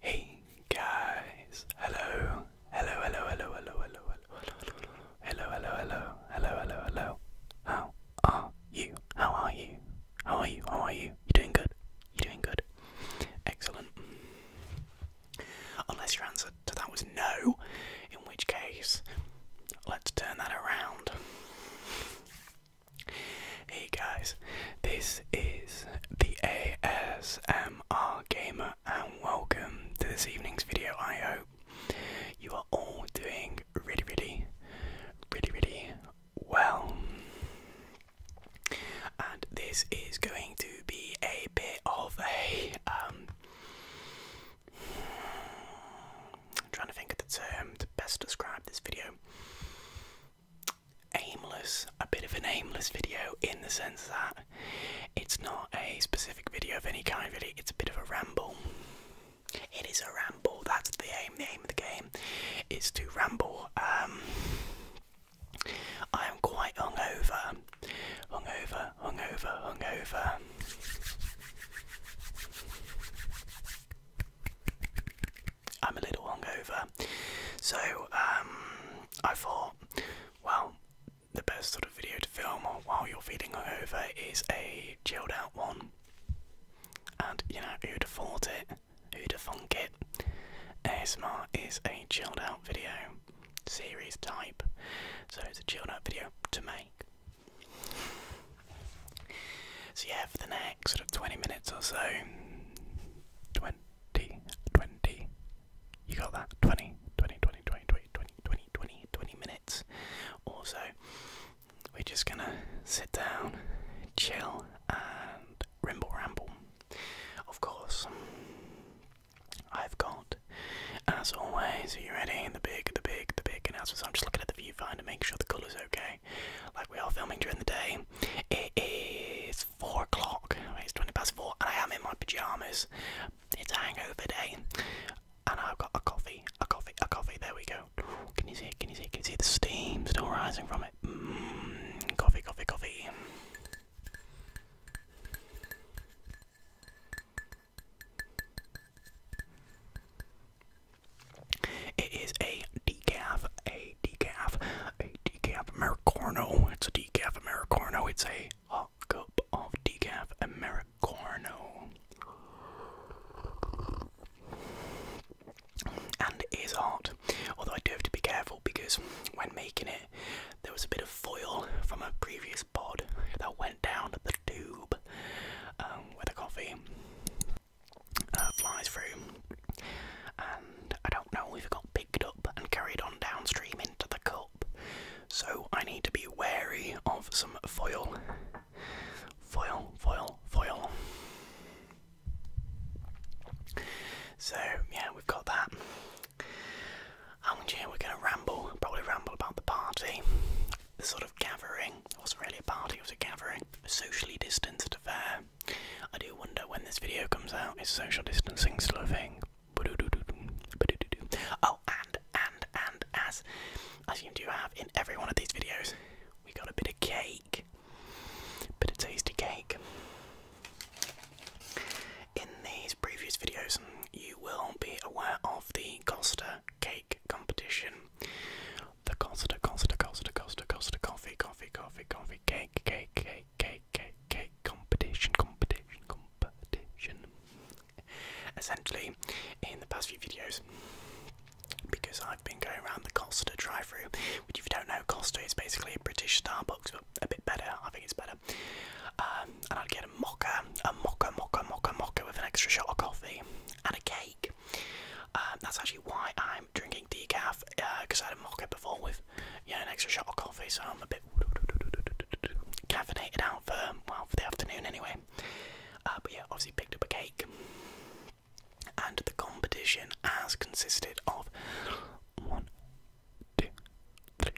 Hey guys, hello, hello, hello, hello, hello, hello, hello, hello, hello, hello, hello, How are you? How are you? How are you? How are you? You are doing good? You are doing good? Excellent. Unless your answer to that was no, in which case, let's turn that around. Hey guys, this is the ASMR Gamer and welcome to this evening's video. I hope you are all doing really, really, really, really well. And this is going to be a bit of a um trying to think of the term to best describe this video. Aimless, a bit of an aimless video in the sense that it's not a specific video of any kind, really, it's a bit of a ramble. It is a ramble, that's the aim. The aim of the game is to ramble. Um, I am quite hungover. Hungover, hungover, hungover. I'm a little hungover, so um, I thought, well, the best sort of video to film while you're feeling hungover is a chilled out one. And you know, who'd have thought it? Who'd have thunk it? ASMR is a chilled out video series type, so it's a chilled out video to make. So yeah, for the next sort of 20 minutes or so, 20, 20, you got that? 20, 20, 20, minutes or so. We're just gonna sit down, chill, and rimble ramble. Of course, I've got, as always, are you ready? The big, the big, the big announcements. I'm just looking at the. If you find to make sure the colour's okay. Like we are filming during the day. It is four o'clock. It's twenty past four, and I am in my pajamas. It's a hangover day, and I've got a coffee, a coffee, a coffee. There we go. Can you see it? Can you see it? Can you see the steam still rising from it? Mm, coffee, coffee, coffee. It is a decaf, a decaf, a decaf Americano. It's a decaf Americano. It's a hot cup of decaf Americano. And it is hot, although I do have to be careful because when making it, there was a bit of foil from a previous pod that went down the tube cup um, coffee uh, flies through, and I don't know if it got picked up and carried on downstream into the cup. So I need to be wary of some foil. Foil, foil, foil. So, yeah, we've got that. And yeah, we're going to ramble, probably ramble about the party the sort of gathering. It wasn't really a party, it was a gathering. A socially distanced affair. I do wonder when this video comes out, is social distancing still a thing? Oh, and, and, and, as I seem to have in every one of these videos, we got a bit of cake. Bit of tasty cake. In these previous videos, you will be aware of the Costa cake competition. The Costa, Costa, Costa, Costa, Costa, Coffee, Coffee, Coffee, Coffee, Cake, Cake, Cake, Cake, Cake, Cake, Competition, Competition, Competition. Essentially, in the past few videos, because I've been going around the Costa drive-through, which if you don't know, Costa is basically a British Starbucks, but a bit better. I think it's better. Um, and i get a mocha, a mocha, mocha, mocha, mocha with an extra shot of coffee and a cake. Um, that's actually why I'm drinking decaf, because uh, I had a mocha before with you an extra shot of coffee, so I'm a bit caffeinated out for, well, for the afternoon anyway. Uh, but yeah, obviously picked up a cake. And the competition has consisted of one, two, three,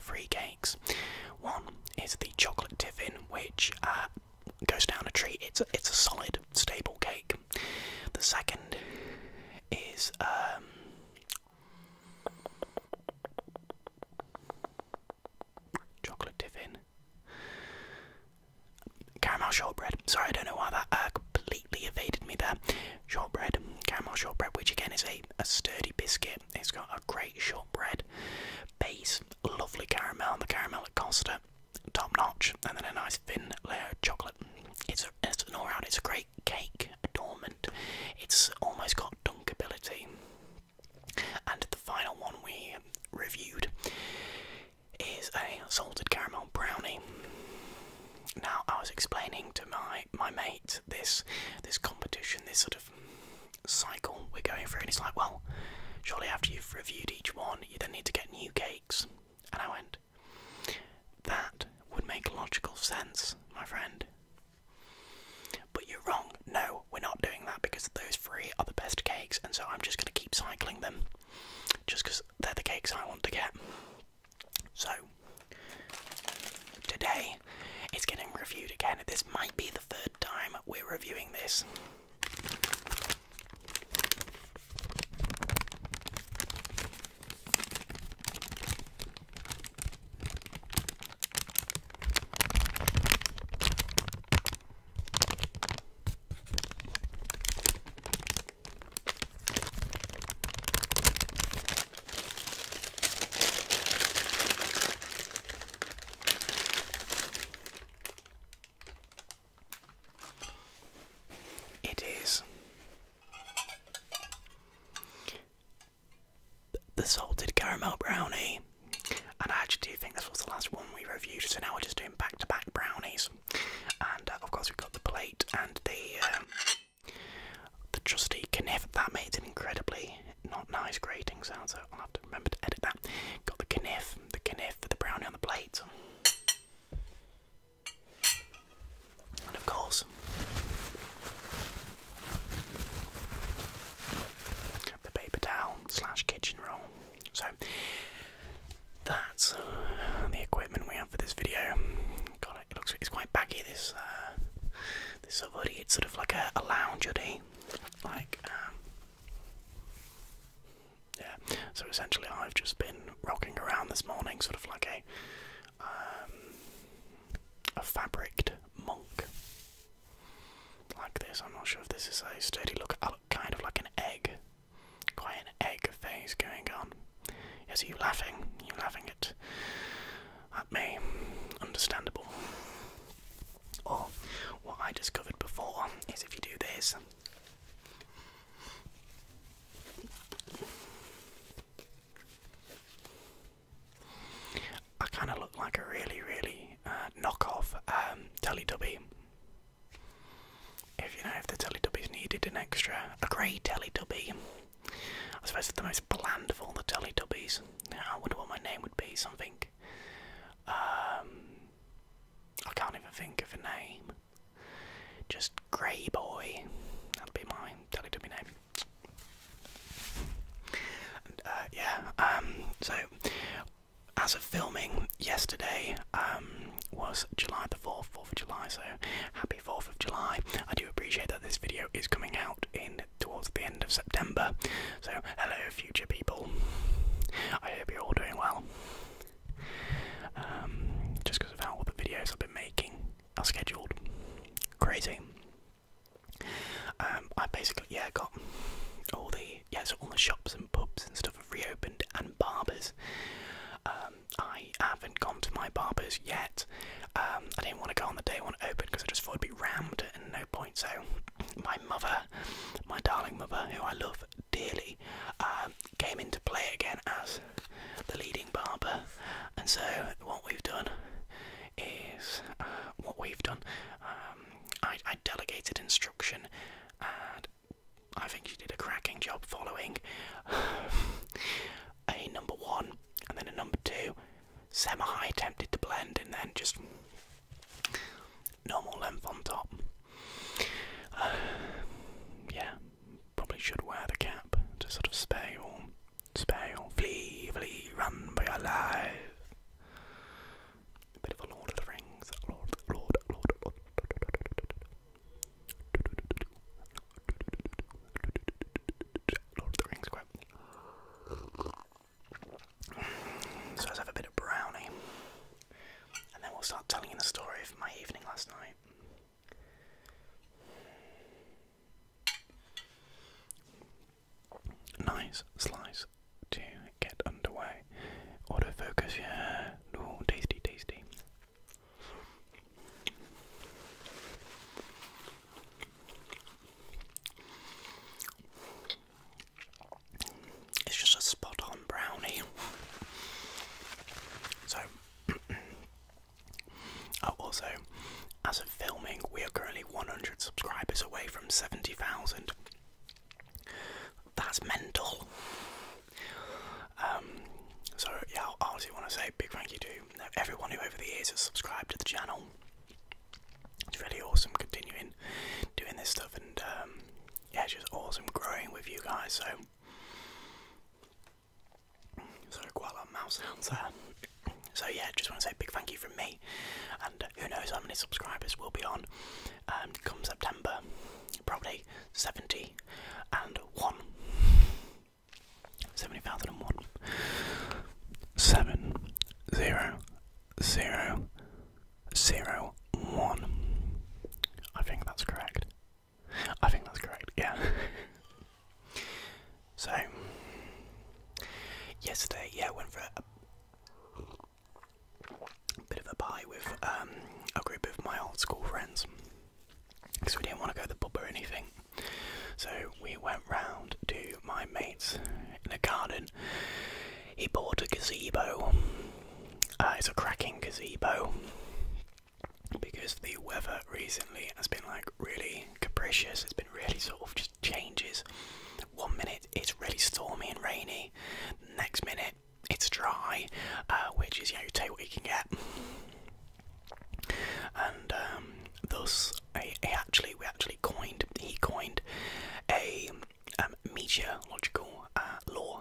three cakes. One is the chocolate tiffin, which uh, goes down a tree. It's a, it's a solid, stable cake. The second is um, chocolate tiffin, caramel shortbread. Sorry, I don't know why that uh, completely evaded me there. Shortbread, caramel shortbread, which again is a, a sturdy biscuit it's got a great shortbread base, lovely caramel, the caramel at Costa, top notch, and then a nice thin layer of chocolate. It's, a, an all round, it's a great cake adornment. It's almost got dunk ability. And the final one we reviewed is a salted caramel brownie. Now I was explaining to my my mate this this competition, this sort of cycle we're going through, and it's like, well, surely after you've reviewed each one, you then need to get new cakes. And I went, that would make logical sense, my friend. But you're wrong. No, we're not doing that because those three are the best cakes, and so I'm just going to keep cycling them just because they're the cakes I want to get. So, today it's getting reviewed again. This might be the third time we're reviewing this. It is the salted caramel brownie, and I actually do think this was the last one we reviewed, so now we're just doing back to back brownies. And uh, of course, we've got the plate and the um, the trusty kniff that made it incredibly not nice grating sound, so I'll have to remember to edit that. Got the knif, the knif for the brownie on the plate. And of course, the paper towel slash kitchen roll. So that's uh, the equipment we have for this video. God, it looks it's quite baggy. This uh, of hoodie. It's sort of like a, a lounge hoodie. Like, um, yeah. So essentially, I've just been rocking around this morning, sort of like a um, a fabriced monk, like this. I'm not sure if this is a sturdy look. I look kind of like an egg, quite an egg phase going on. Is are you laughing? you laughing at at me? Understandable. Or what I discovered before is if you do this. I kind of look like a really, really uh, knockoff um, Teletubby. If you know, if the Teletubbies needed an extra, a grey Teletubby. I suppose it's the most bland of all the Teletubbies. Now, I wonder what my name would be. Something um, I can't even think of a name. Just Grey Boy. That'll be my Teletubby name. And, uh, yeah. Um, so, as of filming yesterday, um, was July the fourth, Fourth of July. So, happy Fourth of July. I do appreciate that this video is coming out in towards the end of September. So, hello, future people. I hope you're all doing well. Um, just because of how all the videos I've been making are scheduled, crazy. Um, I basically yeah got all the yeah all the shops and pubs and stuff have reopened and barbers. Um, I haven't gone to my barbers yet. Um, I didn't want to go on the day one opened because I just thought it'd be rammed and no points out my mother, my darling mother, who I love dearly, um, came into play again as the leading barber. And so, what we've done is uh, what we've done. Um, I, I delegated instruction, and I think she did a cracking job following a number one and then a number two. Semi attempted to blend and then just Normal length on top. yeah, probably should wear the cap to sort of spare you Flee, flee, run for your life. bit of a Lord of the Rings. Lord, Lord, Lord, Lord. Lord of the Rings quote. So let's have a bit of brownie. And then we'll start telling you the story of my evening last night. Nice slice to get underway. Autofocus, yeah. Ooh, tasty, tasty. It's just a spot on brownie. So, oh, also, as of filming, we are currently 100 subscribers away from 70,000. That's mental. Um, so, yeah, I also want to say big thank you to everyone who over the years has subscribed to the channel it's really awesome continuing doing this stuff and um, yeah it's just awesome growing with you guys so so quite a sounds there so yeah just want to say a big thank you from me and who knows how many subscribers will be on um, come September probably 70 and 1 70,001 7 zero zero one. I think that's correct. I think that's correct, yeah. so yesterday, yeah, went for a, bit of a pie with um, a group of my old school friends. So we didn't want to go to the pub or anything. So we went round to my mate's in the garden. He bought a gazebo. Uh, it's a cracking gazebo because the weather recently has been like really capricious. It's been really sort of just changes. One minute it's really stormy and rainy, next minute it's dry, uh, which is, you know, you take what you can get. And um, thus I, actually we actually coined he coined a um, meteorological uh, law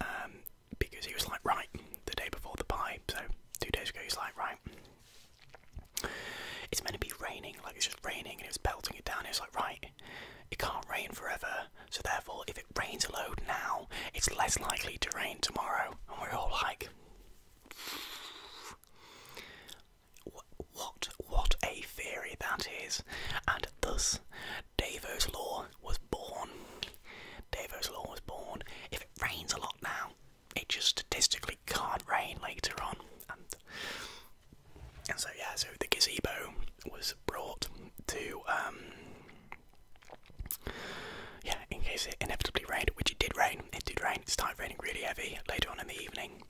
um, because he was like right the day before the pie so two days ago he was like right it's meant to be raining like it's just raining and it's was pelting it down it was like right it can't rain forever so therefore if it rains a load now it's less likely to rain tomorrow and we're all like what what a theory that is, and thus Davos law was born. Davos law was born. If it rains a lot now, it just statistically can't rain later on, and and so yeah, so the gazebo was brought to um yeah in case it inevitably rained, which it did rain. It did rain. It started raining really heavy later on in the evening,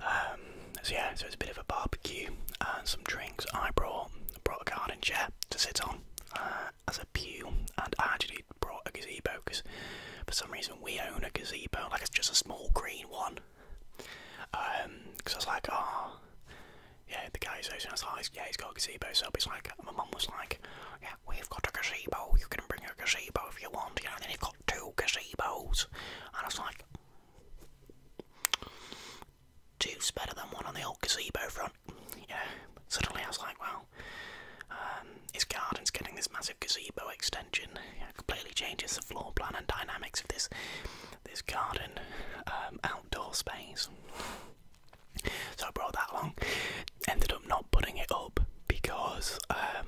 um, so yeah, so it's a bit of a barbecue and some drinks. I brought brought a garden chair to sit on uh, as a pew, and I actually brought a gazebo because for some reason we own a gazebo, like it's just a small green one. Because um, I was like, oh, yeah, the guy's hosting. I was like, yeah, he's got a gazebo. So it's like, my mum was like, yeah, we've got a gazebo. You can bring a gazebo if you want. You know, and then you've two gazebos. And I was like, two's better than one on the old gazebo front. You suddenly I was like, well, um, his garden's getting this massive gazebo extension. It completely changes the floor plan and dynamics of this this garden um, outdoor space. So I brought that along. Ended up not putting it up because um,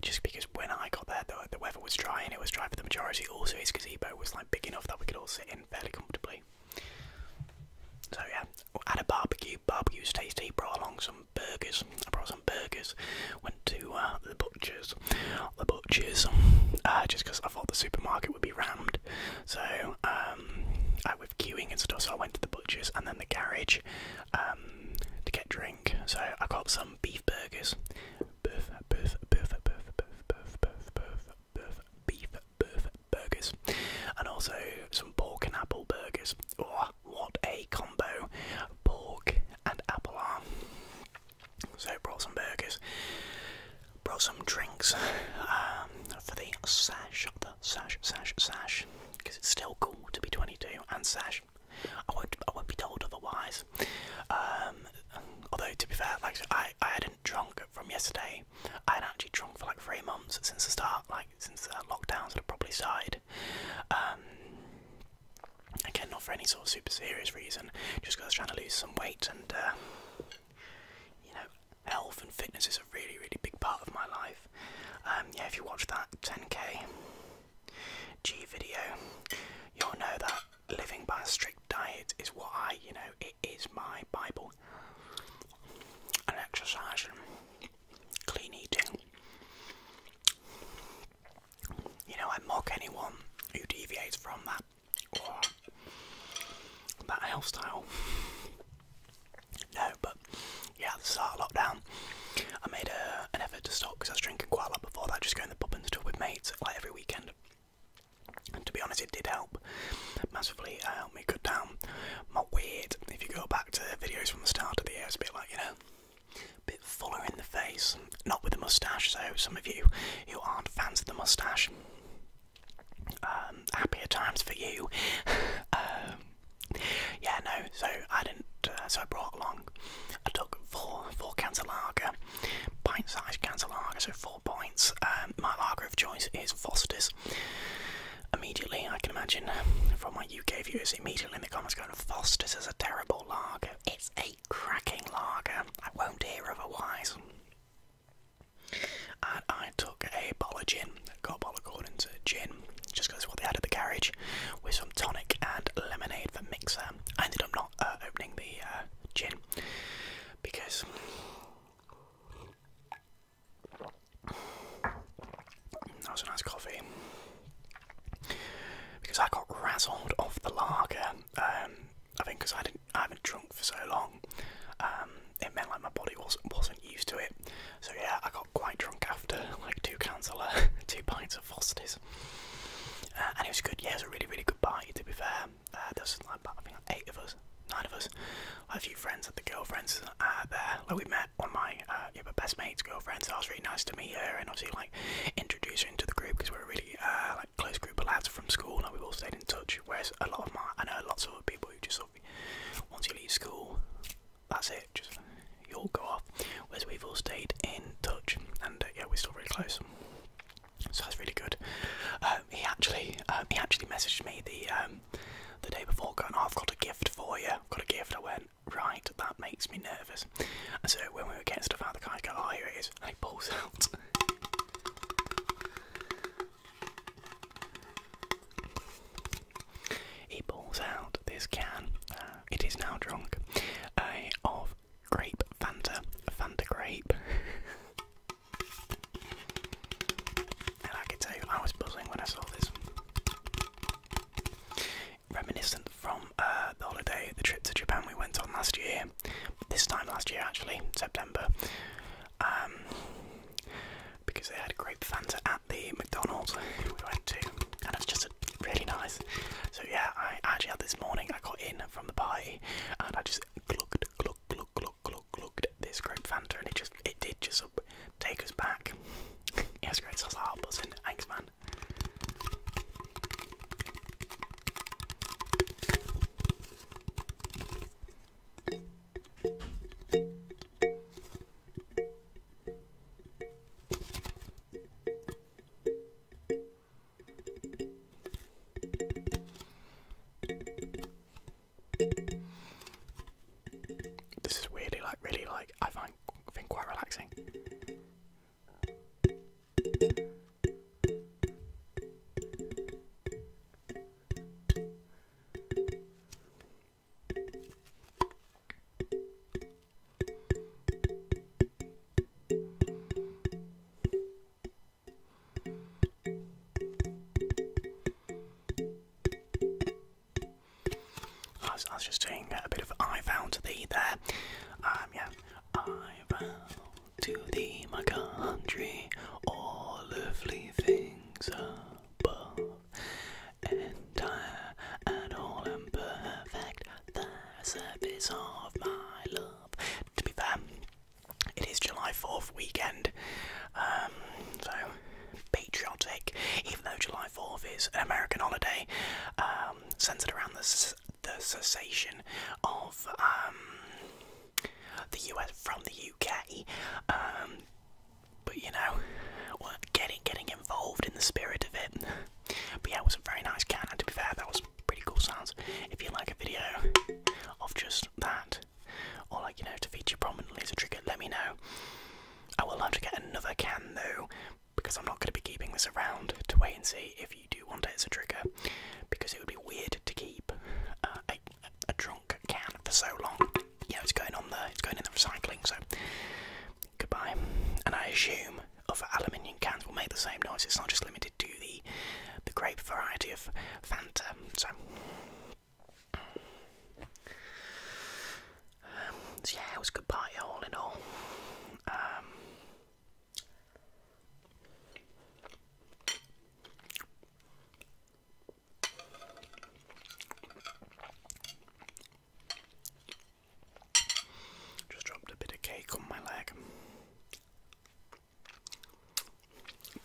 just because when I got there, the, weather was dry and it was dry for the majority. Also, his gazebo was like big enough that we could all sit in fairly comfortably. So yeah, had a barbecue. Barbecue was tasty. Brought along some burgers. I brought some burgers. Went to uh, the butchers. The butchers. Uh, just because I thought the supermarket would be rammed. So um, I, with queuing and stuff, so I went to the butchers and then the garage. Um, to get drink. So I got some beef burgers, beef, beef, beef, beef, beef, beef, beef, beef, beef, beef burgers, and also some pork and apple burgers. Oh, what a combo! Pork and apple arm. So brought some burgers, brought some drinks um, for the sash, the sash, sash, sash because it's still cool to be 22 and sash. I won't, I won't be told otherwise. Um, although to be fair, like I, I hadn't drunk from yesterday. I had actually drunk for like three months since the start, like since lockdowns had probably started. Um, again, not for any sort of super serious reason, just because I was trying to lose some weight and. Uh, you know, health and fitness is a really, really big part of my life. Um, yeah, if you watch that 10k G video, you'll know that living by a strict diet is what I, you know, it is my Bible. And exercise and clean eating. You know, I mock anyone who deviates from that that health no, but yeah, the start of lockdown, I made an effort to stop because I was drinking quite a lot before that, just going to the pub and stuff with mates like every weekend. to be honest, it did help massively. It uh, helped me cut down my weight. If you go back to videos from the start of the year, it's a bit like you know, a bit fuller in the face, not with the moustache. So some of you who aren't fans of the moustache, um, happier times for you. Um, yeah, no. So I didn't. Uh, so I brought along. I took four four cans of lager, pint-sized cans of lager. So four pints. Um, my lager of choice is Foster's. Immediately, I can imagine from my UK viewers, immediately in the comments going, Foster's is a terrible lager. It's a cracking lager. I won't hear otherwise. And I a bottle of gin, got a bottle of corn gin, just because what they had at the garage, with some tonic and lemonade for mixer. I ended up not uh, opening the uh, gin because that was a nice coffee. Because I got razzled off the lager, um, I think because I didn't, I haven't drunk for so long. Um, it meant like my body wasn't wasn't used to it, so yeah, I got quite drunk after like two cans of uh, two pints of Foster's, uh, and it was good. Yeah, it was a really really good party to be fair. There's uh, there was like eight of us, nine of us, I have a few friends, had the girlfriends uh, there. Like we met one of my uh, yeah, my best mate's girlfriends. so I was really nice to meet her and obviously like introduce her into the group because we're a really like close group of lads from school, and we've all stayed in touch. Whereas a lot of my I know lots of other people who just sort of once you leave school, that's it. Just you'll go off. Whereas we've all stayed in touch, and uh, yeah, we're still really close. So that's really good. Um, he actually, um, he actually messaged me the um, the day before, going, oh, "I've got a gift for you. I've got a gift." I went, "Right, that makes me nervous." so when we were getting stuff out, the car, guy go, "Oh, here it is," and he pulls out. He pulls out this can, uh, it is now drunk, of grape Fanta, Fanta grape. and I could tell you, I was buzzing when I saw this. Reminiscent from uh, the holiday, the trip to Japan we went on last year, this time last year actually, September. Um, because they had a great Fanta at the McDonald's we went to, and it's just a, really nice. So yeah, I actually had this morning. I got in from the party, and I just looked, looked, looked, looked, looked, looked at this great Fanta, and it just it did just take us back. it was great. So I was like, oh, Thanks, man. This is really, like really like I find quite relaxing. I was, just doing a bit of I vow to thee there. Um, yeah. I vow thee, my country, all earthly things above, entire and all and the service of my love. To be fair, it is July 4th weekend, um, so patriotic, even though July 4th is an American holiday, um, centered around the, the cessation of um, the US from the UK. But you know, well, getting getting involved in the spirit of it. But yeah, it was a very nice can. To be fair, that was pretty cool sounds. If you like a video of just that, or like you know, to feature prominently as a trigger, let me know. I will have to get another can though, because I'm not going to be keeping this around to wait and see if you do want it as a trigger, because it would be weird to keep uh, a, a drunk can for so long. yeah. it's going on the it's going in the recycling. So goodbye. And I assume other aluminium cans will make the same noise. It's not just limited to the the grape variety of Fanta. So. Um, yeah, it was goodbye all in all. Um, just dropped a bit of cake on my leg.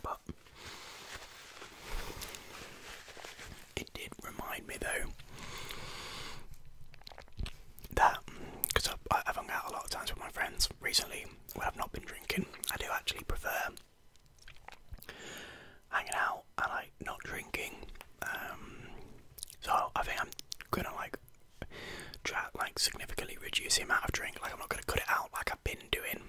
But it did remind me though that, because I've, hung out a lot of times with my friends recently where I've not been drinking, I do actually prefer hanging out and like not drinking. Um, so I think I'm gonna like try like significantly reduce the amount of drink. Like I'm not gonna cut it out like I've been doing.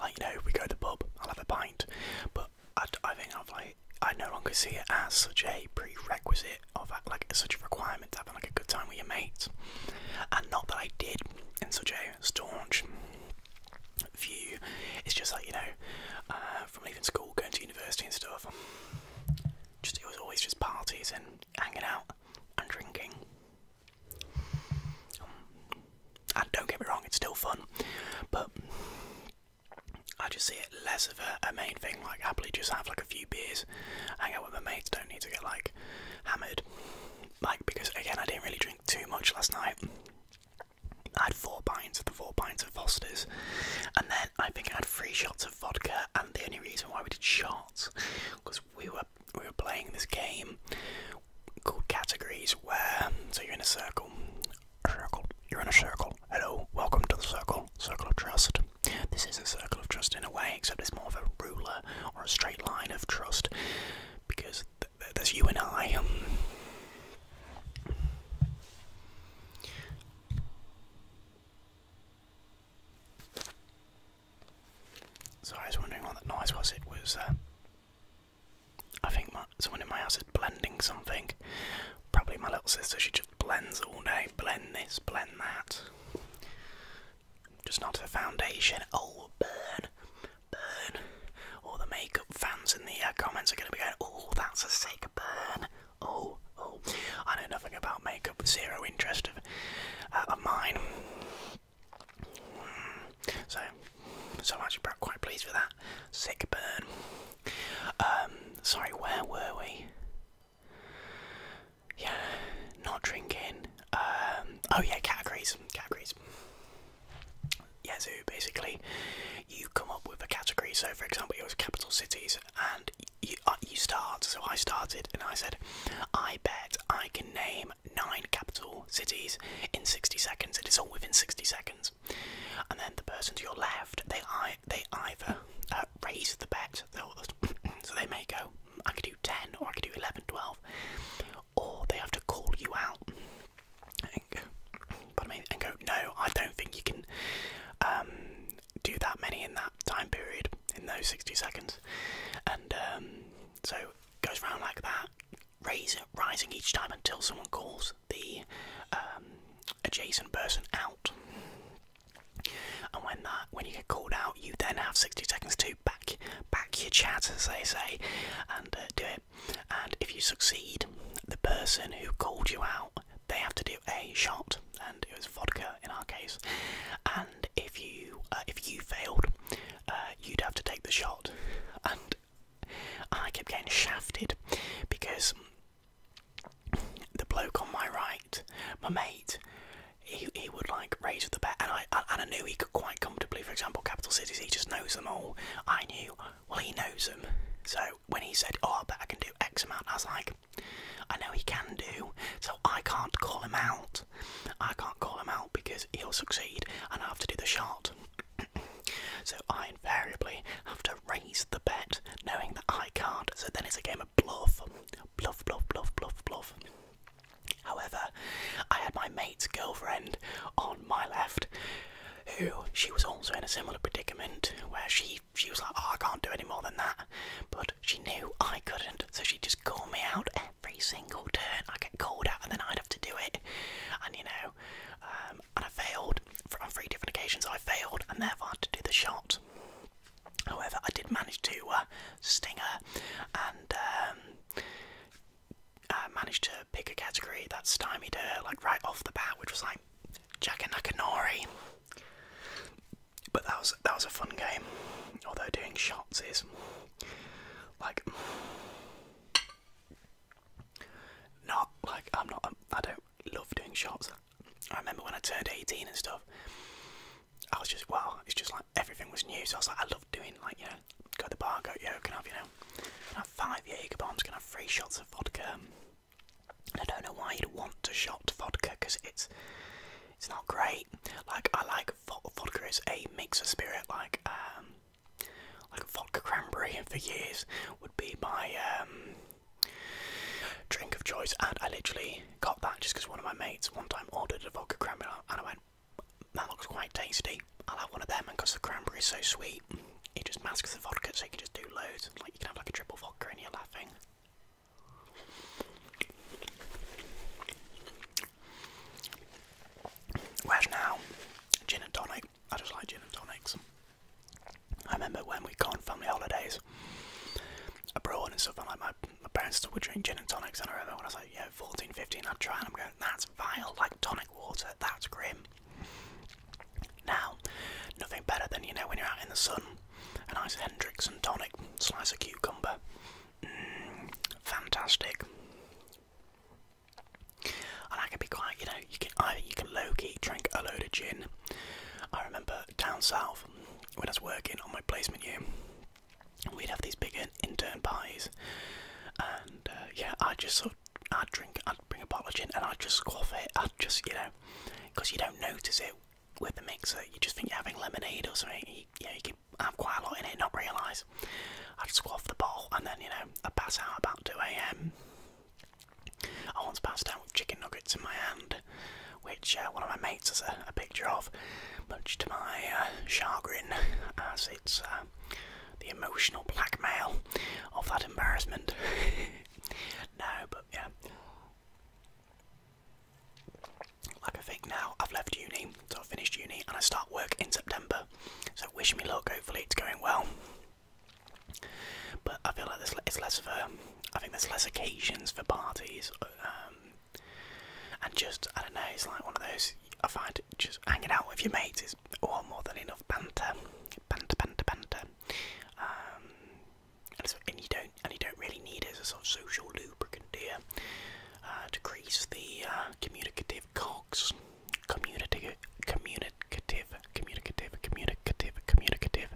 Like you know, we go to the pub, I'll have a pint, but I, I think I've like I no longer see it as such a prerequisite of uh, like such a requirement to having like a good time with your mates, and not that I did in such a staunch view. It's just like you know, uh, from leaving school, going to university and stuff. Just it was always just parties and hanging out and drinking. Um, and don't get me wrong, it's still fun, but I just see it less of a, a main thing. Like happily just have like a few beers, hang out with my mates. Don't need to get like hammered. Like because again, I didn't really drink too much last night. I had four pints of the four pints of Foster's, and then I think I had three shots of vodka. And the only reason why we did shots because we were we were playing this game called categories, where so you're in a circle, circle, you're in a circle. Hello, welcome to the circle, circle of trust. This is a circle of trust in a way, except it's more of a ruler or a straight line of trust because that's you and I. Um. so I was wondering what that noise was. It was, uh, I think, someone in my house is blending something. Probably my little sister. She just blends all day. Blend this. Blend that. Just not the foundation. Oh, burn burn. All the makeup fans in the uh, comments are going to be going, oh, that's a sick burn. Oh, oh. I know nothing about makeup, zero interest of, uh, of mine. So, so I'm actually quite pleased with that. Sick burn. Um, sorry, where were we? Yeah, not drinking. Um, oh yeah, categories, categories yeah, basically, you come up with a category. So, for example, it was capital cities, and you, uh, you start. So, I started and I said, I bet I can name nine capital cities in 60 seconds. It is all within 60 seconds. And then the person to your left, they, they either uh, raise the bet, so they may go, I could do 10, or I could do 11, 12 or they have to call you out but I mean, and go, no, I don't think you can um, do that many in that time period in those 60 seconds, and um, so it goes round like that, raising each time until someone calls the um, adjacent person out. And when that, when you get called out, you then have 60 seconds to back back your chat, as they say, and uh, do it. And if you succeed, the person who called you out, they have to do a shot, and it was vodka in our case. And if you uh, if you failed, uh, you'd have to take the shot. And I kept getting shafted because the bloke on my right, my mate, he, he would like Raise raised the bet, and I and I knew he could quite comfortably. For example, capital cities, he just knows them all. I knew, well, he knows them. So when he said, "Oh, I bet I can do X amount," I was like, "I know he can do." So I can't call him out. I can't call him out because he'll succeed, and I have to do the shot. so I invariably have to raise the bet, knowing that I can't. So then it's a game of bluff, bluff, bluff, bluff, bluff, bluff. However, I had my mate's girlfriend on my left, who she was also in a similar predicament where she she was like, oh, I can't do any more than that, but she knew I couldn't, so she just called me out every single turn. I get called out, and then I'd have to do it, and you know, um, and I failed on three different occasions. I failed, and therefore I had to do the shot. However, I did manage to uh, sting her, and um, uh, managed to pick a category that stymied her like right off the bat, which was like Jaka Nakanori. But that was that was a fun game. Although doing shots is like not like I'm not um, I don't love doing shots. I remember when I turned 18 and stuff. I was just wow, it's just like everything was new, so I was like, I love doing like you know, go to the bar, go yo, can have you know, can I have five Jaeger bombs, can I have three shots of vodka? And I don't know why you'd want to shot vodka because it's it's not great. Like I like vodka is a mix of spirit, like um, like vodka cranberry, for years would be my um drink of choice and I literally got that just because one of my mates one time ordered a vodka cranberry and I went that looks quite tasty. I'll have one of them, because the cranberry is so sweet, it just masks the vodka, so you can just do loads. Like you can have like a triple vodka, and you're laughing. Where's now, gin and tonic. I just like gin and tonics. I remember when we'd go on family holidays abroad and stuff, and like my, my parents still would drink gin and tonics. And I remember when I was like you know, 14, 15, I'm trying, I'm going, that's vile, like tonic water, that's grim. Now, nothing better than, you know, when you're out in the sun, a nice and tonic, slice of cucumber. Mm, fantastic. And I can be quite, you know, you can either you can low key drink a load of gin. I remember down south when I was working on my placement year, we'd have these big intern pies, and uh, yeah, I would just sort of, I'd drink, I'd bring a bottle of gin, and I'd just squaff it. I'd just, you know, because you don't notice it with the mixer. You just think you're having lemonade or something. You, you know, you can have quite a lot in it, not realise. I'd squaff the bottle, and then you know, I'd pass out about two a.m. I once passed out with chicken nuggets in my hand, which uh, one of my mates has a picture of, much to my uh, chagrin, as it's uh, the emotional blackmail of that embarrassment. no, but yeah. Like I think now, I've left uni, so I've finished uni, and I start work in September. So wish me luck. Hopefully, it's going well. But I feel like there's less of a. I think there's less occasions for parties. Um, and just, I don't know, it's like one of those, I find just hanging out with your mates is all more than enough banter. Banter, banter, banter. Um, and, you don't and you don't really need it as a sort of social lubricant, here uh, to crease the uh, communicative cogs. Communicative, communicative, communicative, communicative, communicative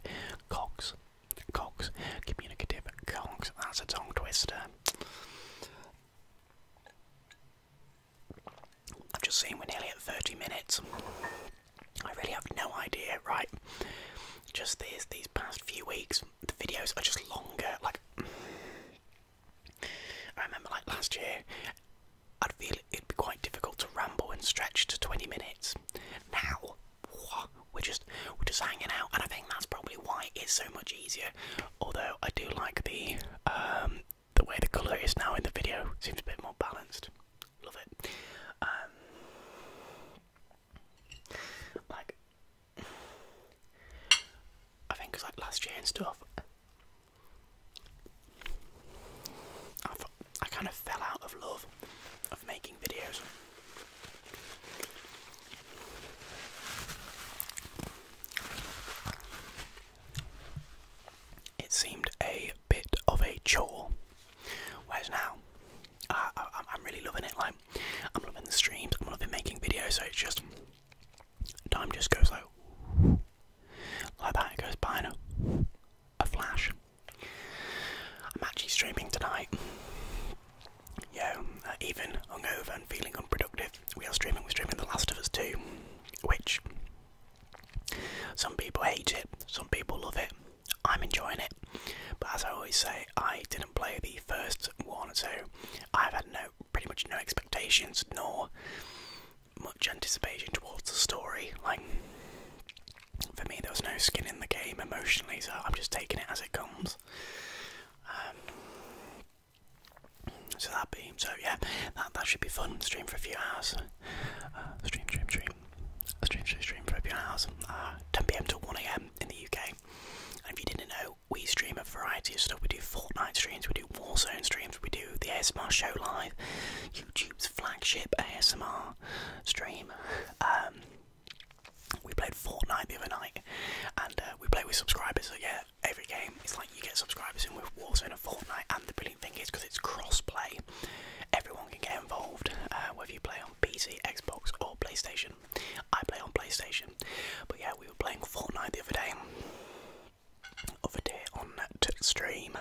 cogs. Cogs, communicative cogs. That's a tongue twister. I've just seen we're nearly at 30 minutes. I really have no idea, right? Just these these past few weeks, the videos are just longer. Like I remember, like last year, I'd feel it'd be quite difficult to ramble and stretch to 20 minutes. Now, we're just we're just hanging out, and I think that's probably why it's so much easier. Although I do like the um, the way the colour is now in the video. Seems a bit more balanced. Love it. Um, like I think it like last year and stuff. I, I kind of fell out of love of making videos. It seemed a bit of a chore. Whereas now, I, am really loving it. Like, I'm loving the streams. I'm loving making videos. So it just time just goes like like that. It goes by in a flash. I'm actually streaming tonight, yeah, uh, even hungover and feeling unproductive, we are streaming. We're streaming The Last of Us 2, which some people hate it, some people love it. I'm enjoying it, but as I always say, I didn't play the first one, so I've had no, pretty much no expectations nor much anticipation towards the story. Like for me, there was no skin in the game emotionally, so I'm just taking it as it comes. Um, so that be so yeah, that that should be fun. Stream for a few hours. Uh, stream, stream, stream, stream, stream, stream for a few hours. Uh, 10 p.m. to 1 a.m. in the UK. And if you didn't know, we stream a variety of stuff. We do Fortnite streams, we do Warzone streams, we do the ASMR Show Live, YouTube's flagship ASMR stream. Um, we played Fortnite the other night, and uh, we play with subscribers. So yeah, every game. It's like you get subscribers in with Warzone and Fortnite, and the brilliant thing is because it's cross-play, everyone can get involved, uh, whether you play on PC, Xbox, or PlayStation. I play on PlayStation, but yeah, we were playing Fortnite the other day, other day on stream,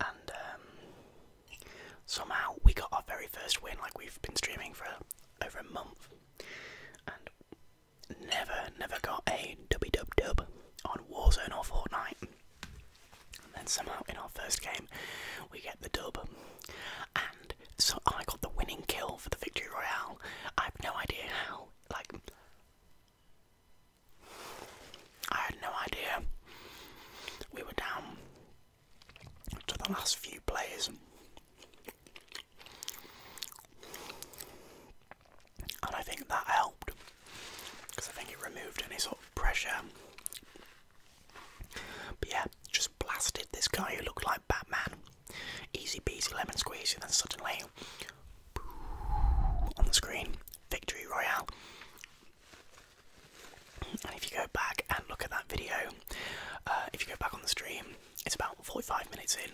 and um, somehow we got our very first win. Like we've been streaming for over a month, never, never got a dubby dub dub on Warzone or Fortnite. And then somehow in our first game, we get the dub. And so I got the winning kill for the Victory Royale. I have no idea how. Like, I had no idea. We were down to the last few players and I think that helped because I think it removed any sort of pressure. But yeah, just blasted this guy who looked like Batman. Easy peasy lemon squeezy. and then suddenly on the screen, Victory Royale. And if you go back and look at that video, uh, if you go back on the stream, it's about 45 minutes in.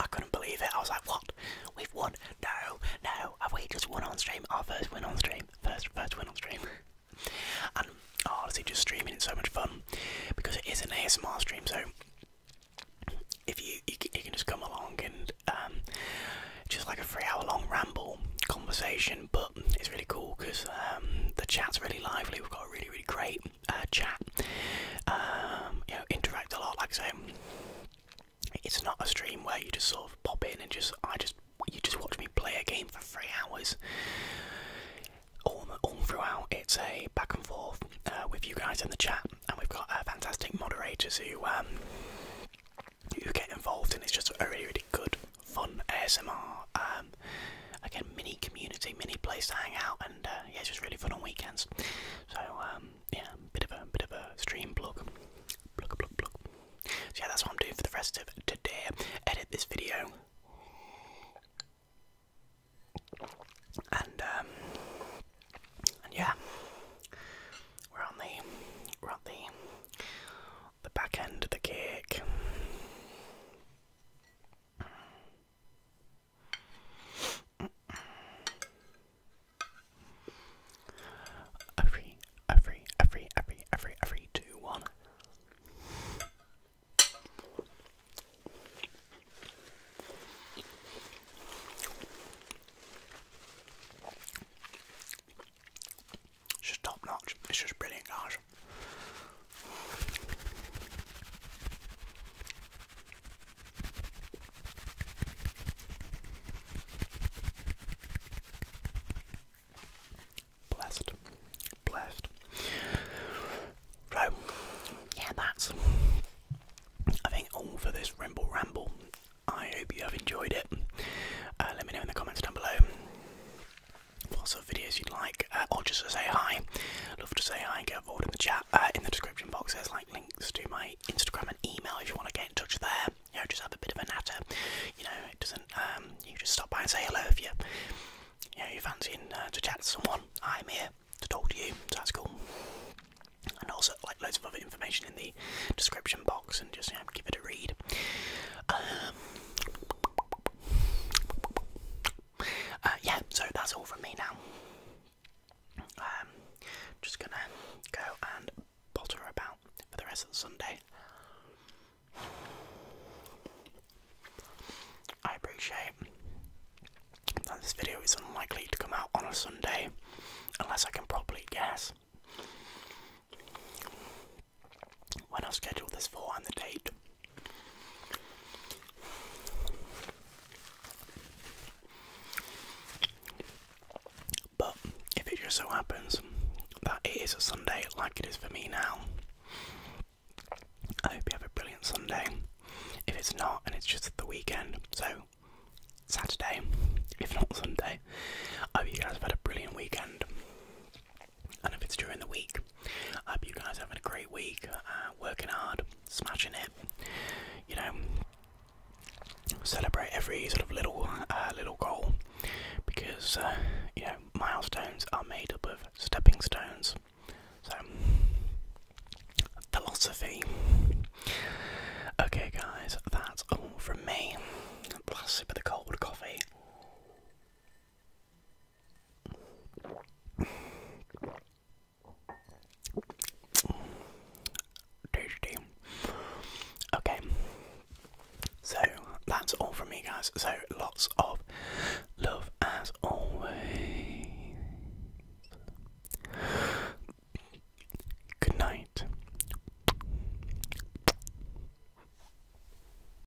I couldn't believe it. I was like, what? We've won? No, no. Have we just won on stream? Our first win on stream. First, first win on stream. and oh, it's just streaming It's so much fun because it is an ASMR stream. So if you you, can just come along and um, just like a three-hour-long ramble conversation, but it's really cool because um, the chat's really lively. We've got a really really great uh, chat, um, you know, interact a lot. Like I it's not a stream where you just sort of pop in and just I just you just watch me play a game for three hours. All, all throughout, it's a back and forth uh, with you guys in the chat, and we've got fantastic moderators who um, who get involved, and it's just really really good fun ASMR, um, again, mini community, mini place to hang out, and uh, yeah, it's just really fun on weekends. So um, yeah, bit of a bit of a stream blog, blog, blog, blog. yeah, that's what I'm doing for the rest of today. Edit this video, and um, and yeah, we're on the we're on the the back end of the cake. Every, every, every, every, every, every two, one. It's just top notch. It's just brilliant, guys. Blessed. Blessed. Right. Yeah, that's I think all for this ramble Ramble. I hope you have enjoyed it. Uh, let me know in the comments down below what sort of videos you'd like, uh, or just to say hi. Love to say hi. Get involved in the chat. Uh, in the description box, there's like links to my Instagram and email if you want to get in touch there. You know, just have a bit of a natter. You know, it doesn't. Um, you just stop by and say hello if you, you know, you fancy fancying uh, to chat to someone. I'm here to talk to you. So that's cool. And also, like loads of other information in the description box, and just you know, give it a read. Um, uh, yeah, so that's all from me now. Um, just gonna go and potter about for the rest of Sunday. I appreciate that this video is unlikely to come out on a Sunday unless I can properly guess when I've scheduled this for and the date. But if it just so happens that it is a Sunday like it is for me now, I hope you have a brilliant Sunday. If it's not and it's just the weekend, so Saturday, if not Sunday, I hope you guys have had a brilliant weekend. And if it's during the week, I hope you guys are having a great week, uh, working hard, smashing it. You know, celebrate every sort of little uh, little goal because uh, you know milestones are made up of stepping stones. So, philosophy. Okay, guys, that's all from me. Last sip of the cold coffee. Tasty. Okay. So that's all from me, guys. So lots of love as always. Good night.